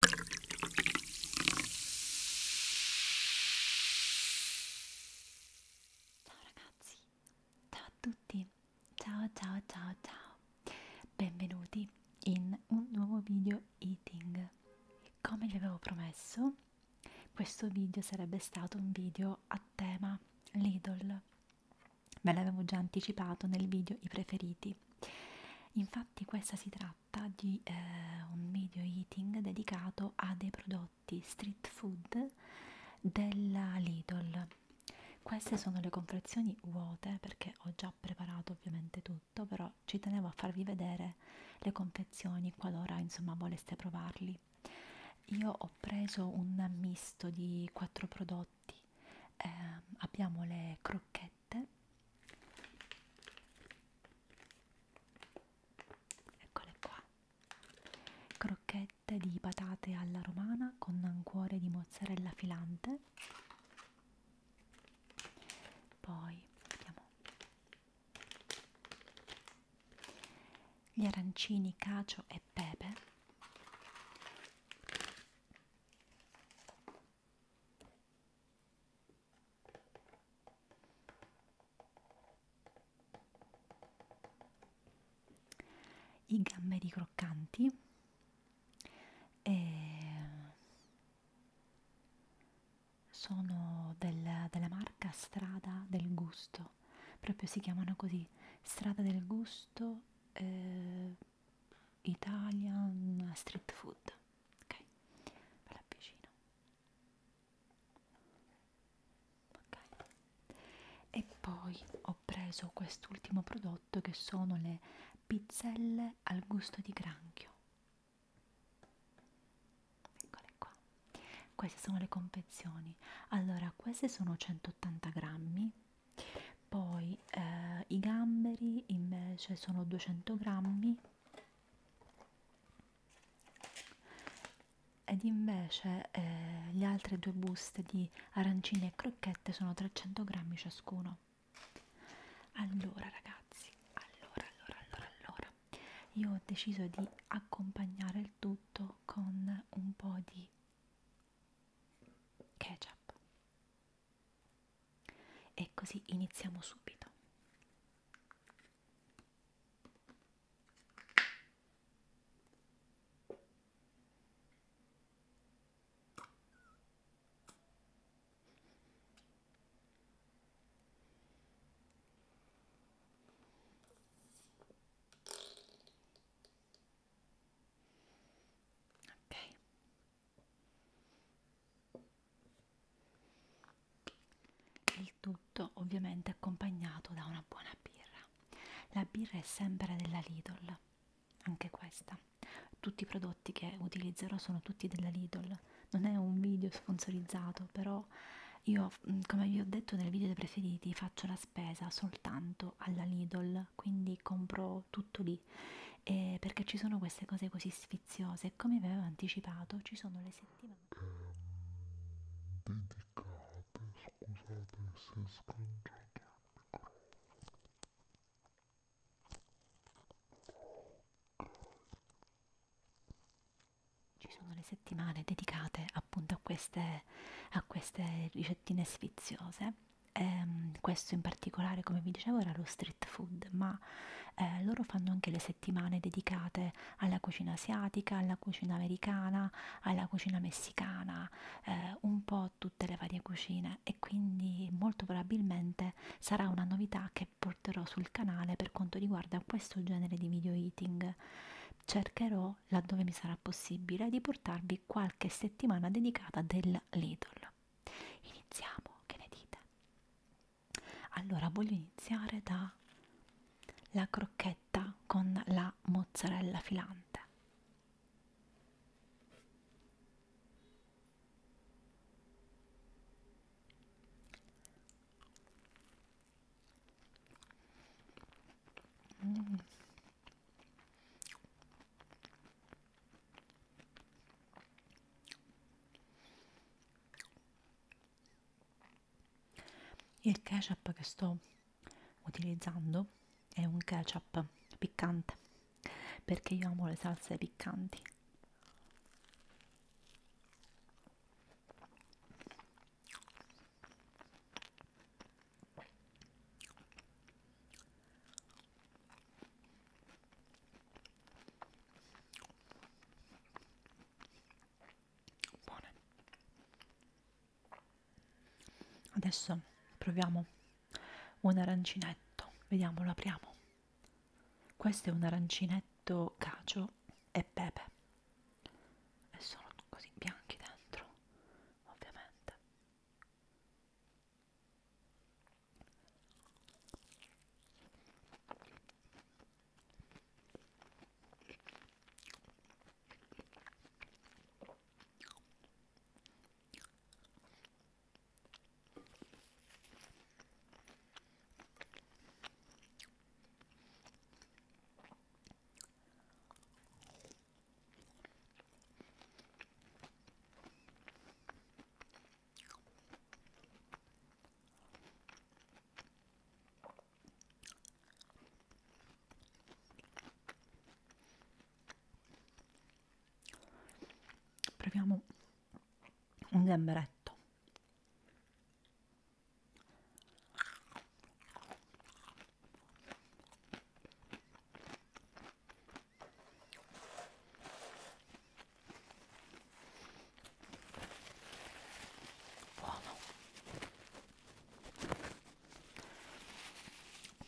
Ciao ragazzi, ciao a tutti, ciao ciao ciao ciao, benvenuti in un nuovo video eating. Come vi avevo promesso, questo video sarebbe stato un video a tema Lidl. Ve l'avevo già anticipato nel video i preferiti. Infatti questa si tratta tratta di eh, un video eating dedicato a dei prodotti street food della Lidl. Queste sono le confezioni vuote perché ho già preparato ovviamente tutto, però ci tenevo a farvi vedere le confezioni qualora insomma voleste provarli. Io ho preso un misto di quattro prodotti, eh, abbiamo le crocchette magliette eccole qua crocchette di patate alla romana con un cuore di mozzarella filante poi vediamo gli arancini cacio e pepe i gamberi croccanti eh, sono del, della marca Strada del Gusto, proprio si chiamano così, Strada del Gusto eh, Italian street food ok me l'avvicino ok e poi ho preso quest'ultimo prodotto che sono le pizzelle al gusto di granchio eccole qua queste sono le confezioni allora queste sono 180 grammi poi eh, i gamberi invece sono 200 grammi ed invece eh, le altre due buste di arancine e crocchette sono 300 grammi ciascuno allora ragazzi allora allora allora allora io ho deciso di accompagnare il tutto con un po' di ketchup e così iniziamo subito ok il tutto ovviamente accompagnato da una buona birra la birra è sempre della Lidl anche questa tutti i prodotti che utilizzerò sono tutti della Lidl non è un video sponsorizzato però io come vi ho detto nel video dei preferiti faccio la spesa soltanto andato alla Lidl, quindi compro tutto lì eh, perché ci sono queste cose così sfiziose. Come vi avevo anticipato, ci sono le settimane eh, dedicate. Scusate se scangiate il microfono. Ci sono le settimane dedicate appunto a queste, a queste ricettine sfiziose ehm, questo in particolare come vi dicevo era lo street food ma eh, loro fanno anche le settimane dedicate alla cucina asiatica, alla cucina americana, alla cucina messicana, eh, un po' tutte le varie cucine e quindi molto probabilmente sarà una novità che porterò sul canale per quanto riguarda questo genere di video eating cercherò cercherò, laddove mi sarà possibile, di portarvi qualche settimana dedicata del Lidl. Iniziamo, che ne dite? Allora, voglio iniziare dalla crocchetta con la mozzarella filante. Mm. Il ketchup che sto utilizzando è un ketchup piccante perché io amo le salse piccanti buone adesso proviamo un arancinetto vediamo lo apriamo questo è un arancinetto cacio e pepe e sono così bianchi dentro ovviamente Proviamo un gamberetto buono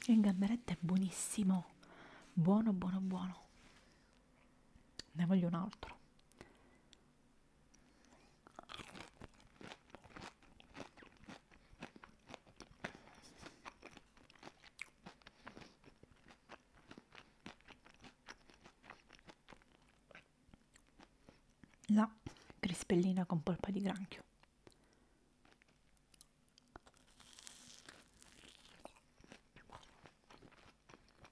il gamberetto è buonissimo buono buono buono ne voglio un altro la crispellina con polpa di granchio.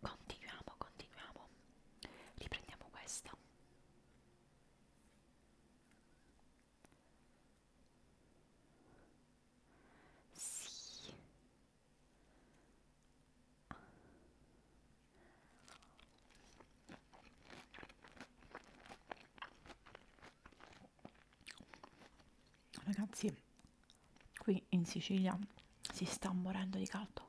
Continuiamo, continuiamo. Riprendiamo questa. Sì. Ragazzi, qui in Sicilia si sta morendo di caldo.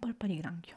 polpa di granchio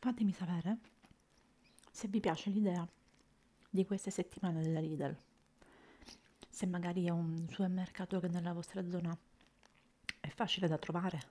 Fatemi sapere se vi piace l'idea di queste settimane della Lidl, se magari è un supermercato che nella vostra zona è facile da trovare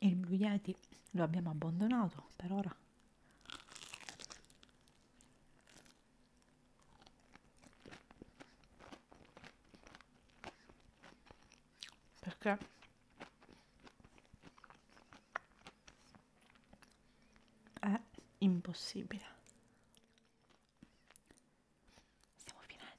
il Blue Yeti lo abbiamo abbandonato per ora perché è impossibile stiamo finendo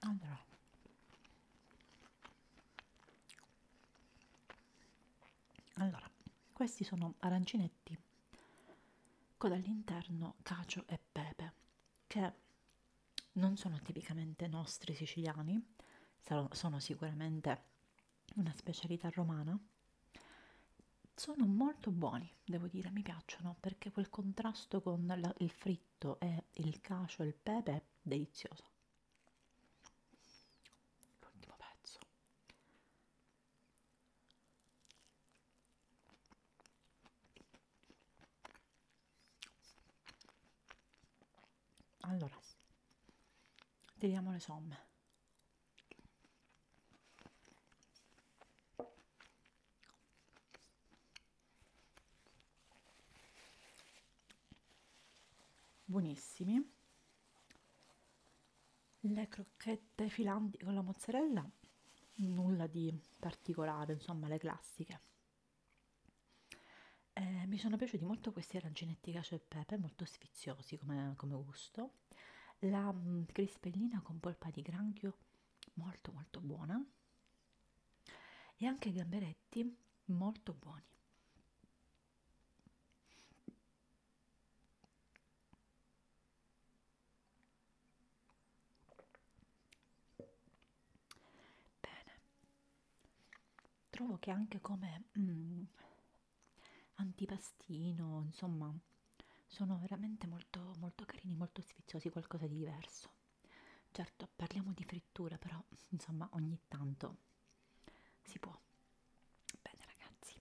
Allora. allora, questi sono arancinetti con all'interno cacio e pepe, che non sono tipicamente nostri siciliani, sono sicuramente una specialità romana. Sono molto buoni, devo dire, mi piacciono perché quel contrasto con la, il fritto e il cacio e il pepe delizioso l'ultimo pezzo allora tiriamo le somme buonissimi le crocchette filanti con la mozzarella nulla di particolare insomma le classiche eh, mi sono piaciuti molto questi arancinetti cacio e pepe molto sfiziosi come, come gusto la mm, crispellina con polpa di granchio molto molto buona e anche gamberetti molto buoni bene trovo che anche come mm, antipastino insomma sono veramente molto molto carini molto sfiziosi qualcosa di diverso certo parliamo di frittura però insomma ogni tanto si può bene ragazzi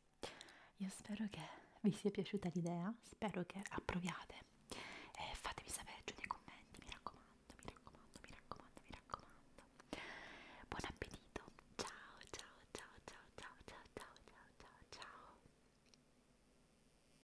io spero che vi sia piaciuta l'idea spero che approviate e fatemi sapere giù nei commenti mi raccomando mi raccomando mi raccomando mi raccomando buon appetito ciao ciao ciao ciao ciao ciao ciao ciao ciao ciao